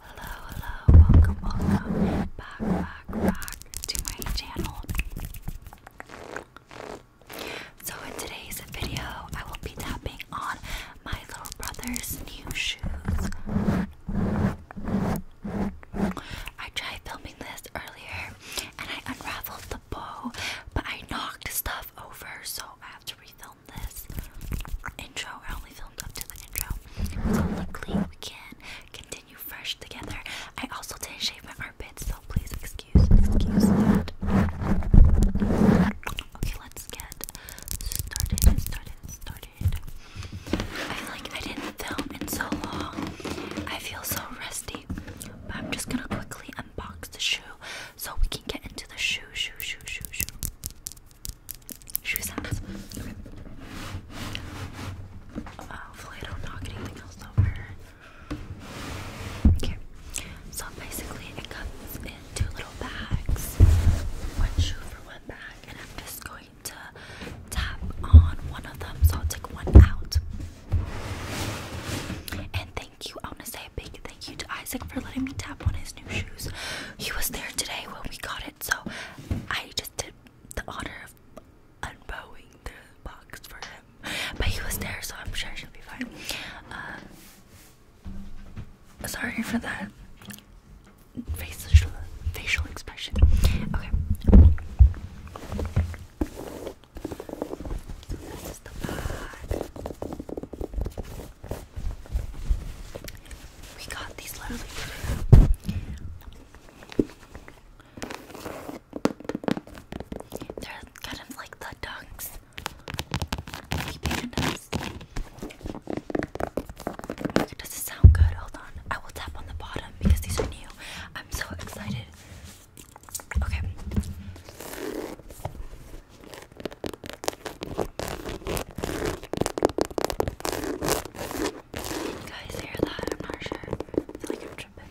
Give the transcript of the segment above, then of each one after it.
Hello, hello, welcome, welcome back, back, back to my channel. So, in today's video, I will be tapping on my little brother's new shoes. I tried filming this earlier and I unraveled the bow, but I knocked stuff over, so I have to refilm this intro. I only filmed up to the intro. So luckily we can continue fresh together. I also didn't shave my armpits, so please excuse excuse that. Okay, let's get started, started, started. I feel like I didn't film in so long. I feel so rusty. But I'm just gonna quickly unbox the shoe so we can get into the shoe, shoe, shoe, shoe, shoe. Uh, so basically, it comes in two little bags. One shoe for one bag, and I'm just going to tap on one of them. So I'll take one out. And thank you. I want to say a big thank you to Isaac for letting me tap on his new shoes he was there today when we got it, so I just did the honor of unbowing the box for him. But he was there, so I'm sure she'll be fine. Uh, sorry for that facial facial expression. Okay. This is the bag. We got these literally They're kind of like the dunks. He painted Does it sound good? Hold on. I will tap on the bottom because these are new. I'm so excited. Okay. You guys hear that? I'm not sure. I feel like I'm tripping.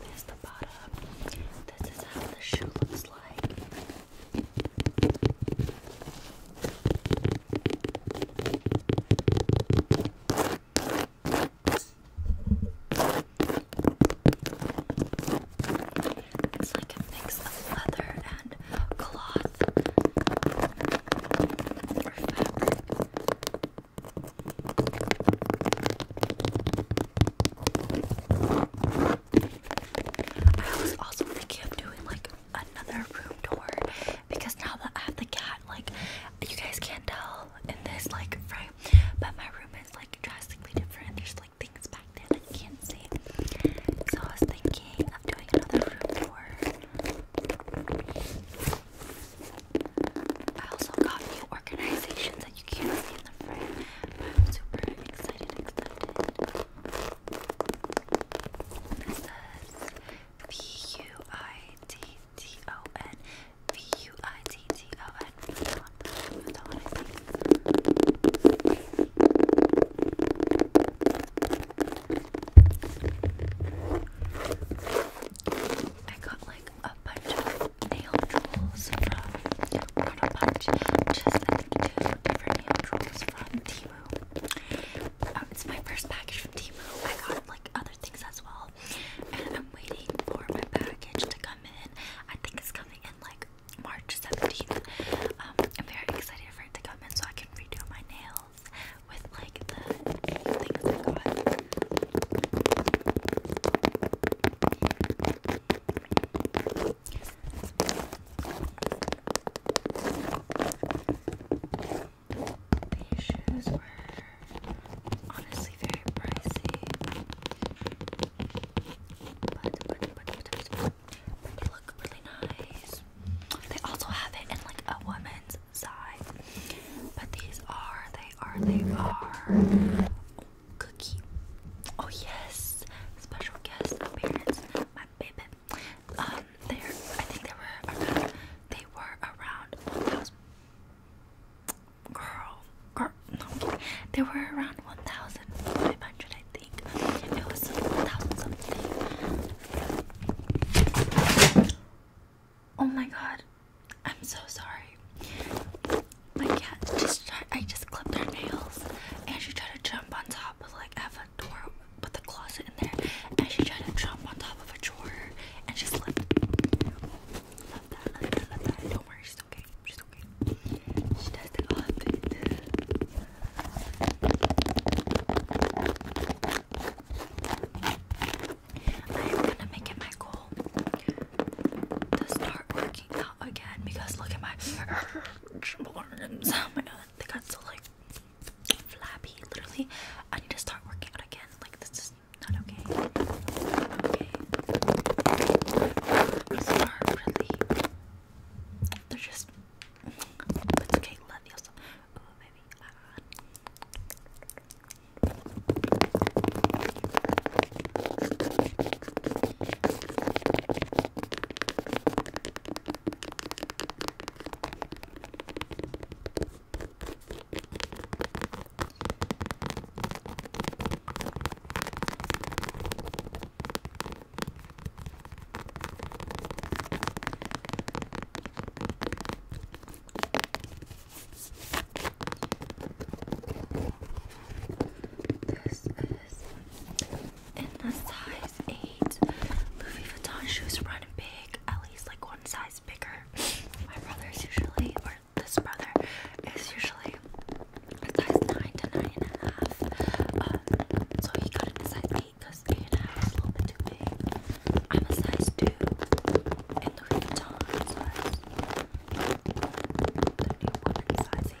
There's the bottom. This is how the shoe looks like. It's like a mix of leather and cloth I was also thinking of doing like another room tour because now that I have the cat, like you guys can't tell in this like frame, but my room is like drastically different. There's things back there that can't see. So I was thinking of doing another room tour. I also got new organizations that you can't see in the frame, I'm super excited, excited. This is V-U-I-T-T-O-N V-U-I-T-T-O-N I got like a bunch of nail tools from, not a bunch, just like different nail tools from Timu. Um, it's my first package from Timu. I got like other things as well. And I'm waiting for my package to come in. I think it's coming in like March 17th. Um, I'm very excited for it to come in so I can redo my nails with like the things I got. These shoes were honestly very pricey but, look really nice. They also have it in like a woman's size, but these are, they are, they are cookie. Oh yes, special guest appearance, my baby. Um, there, I think they were around, they were around Girl, girl, no, there were around 1,500 I think it was 1,000 something oh my god I'm so sorry my cat just tried, I just clipped her nails and she tried to jump on top of like a door with the closet in there and she tried to jump on top of a drawer and she slipped love that, love that, love that. don't worry okay, she's okay. I am gonna make it my goal to start working out again because look at my arms. Oh my god, they got so like flabby. Literally, I need to start working out again. Like this is not okay. They're just. It's okay, love you so. Ooh, baby. Uh, this is in the size 8 Louis Vuitton shoes run big, at least like one size bigger. My brother's usually, this brother is usually size 9 to 9 um, so he got in size 8 because 8 is a little bit too big. I'm a size 2 in Louis Vuitton size. The new woman sizing.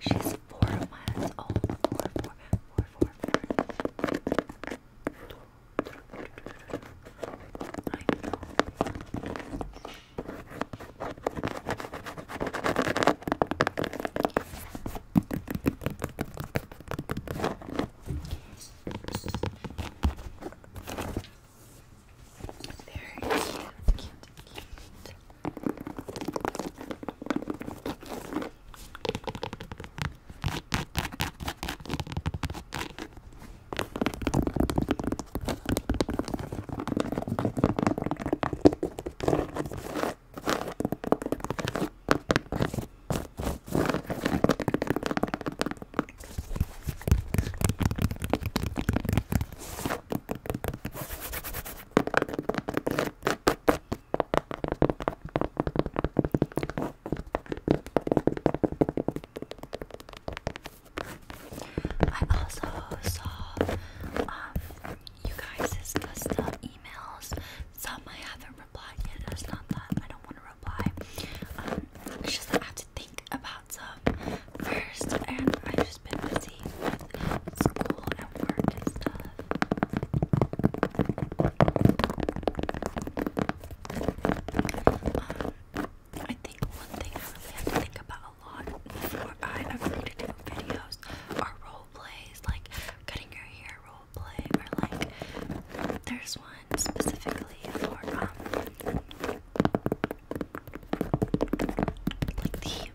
She's four months old. Oh, very cute, cute, cute. I also saw um you guys' custom emails. Some I haven't replied yet. It's not that I don't want to reply. Um, just that to think about some first, and I've just been busy with school and work and stuff. Um, I think one thing I really have to think about a lot before I agree to do videos are role plays, like cutting your hair role play, or like there's one specifically for um the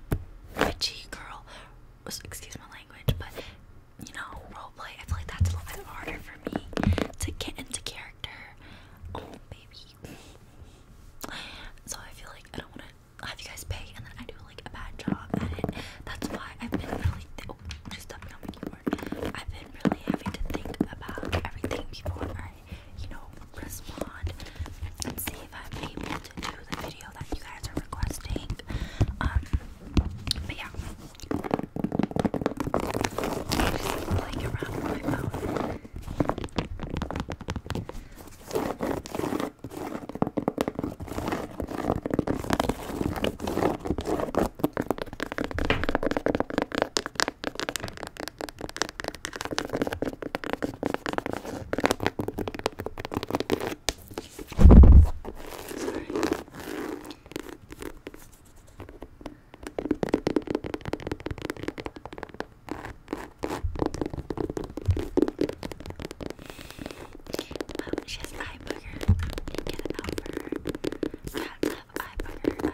witchy girl excuse my language, but you know, roleplay, I feel like that's a little bit harder for me to get into character. Oh baby. So I feel like I don't wanna have you guys pay and then I do like a bad job at it. That's why I've been really th oh, just tapping on my keyboard. I've been really having to think about everything before you know, respond and see if I'm able to do the video that you guys are requesting. Um, but yeah, I just playing around my phone. Sorry. Um, she has eye booger. You can get it out for her. Cats have eye booger.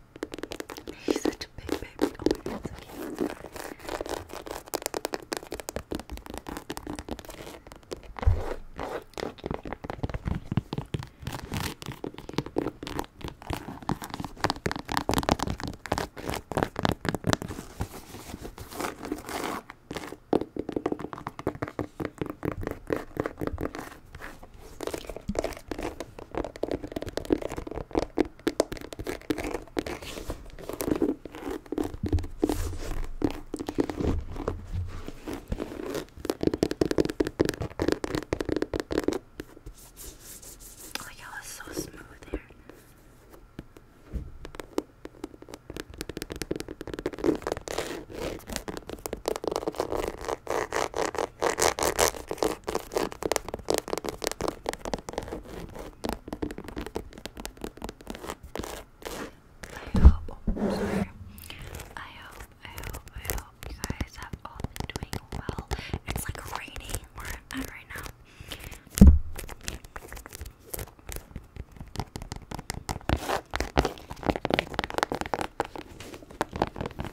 He's such a big baby. Oh my god, so cute. Like how it's so smooth here. I hope, I hope, I hope you guys have all been doing well. It's like raining where I'm at right now.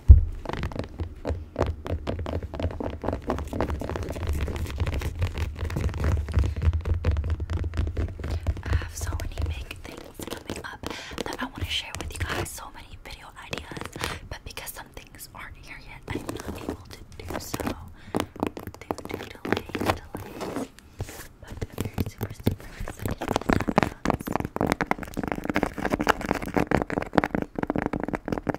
I have so many big things coming up that I want to share with you guys. So many video ideas, but because some things aren't here yet, I'm not able to do so. But I'm super, super excited for that.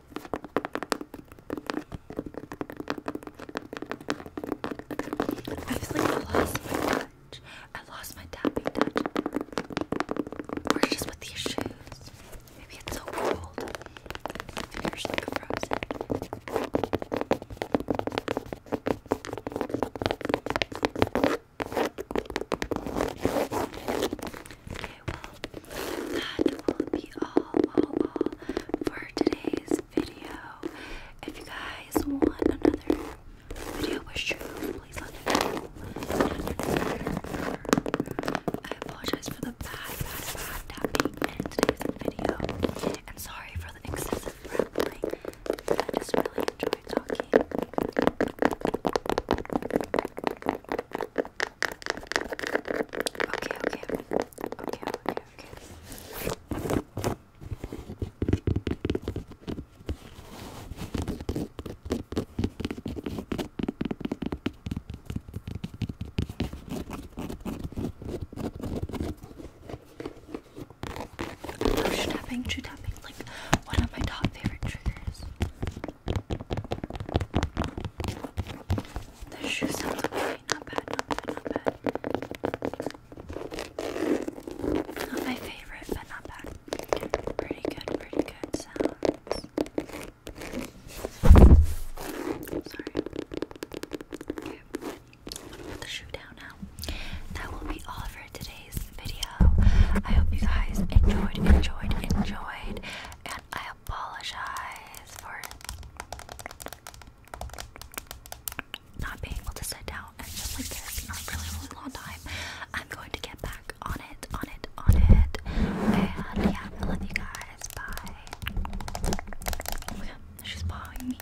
I was like lost my touch. I lost my tapping touch. Or just with these shoes. Maybe it's so cold. Okay, well, that will be all, all, all for today's video. If you guys want another video wish true, please let me know. I apologize for the bad, bad, bad tapping in today's video. And sorry for the excessive rambling. I just really enjoy talking. Okay, okay. Okay, okay, okay. I love like one of my top favorite triggers. The shoe sounds okay, not bad, not bad, not bad. Not my favorite, but not bad. Pretty good, pretty good sounds. Sorry. put the shoe down now. That will be all for today's video. I hope you guys enjoyed, enjoyed, enjoyed, and I I apologize for not being able to sit down and just like this in a really, really long time. I'm going to get back on it, on it, on it. And yeah, I love you guys. Bye. Oh my god, she's following me.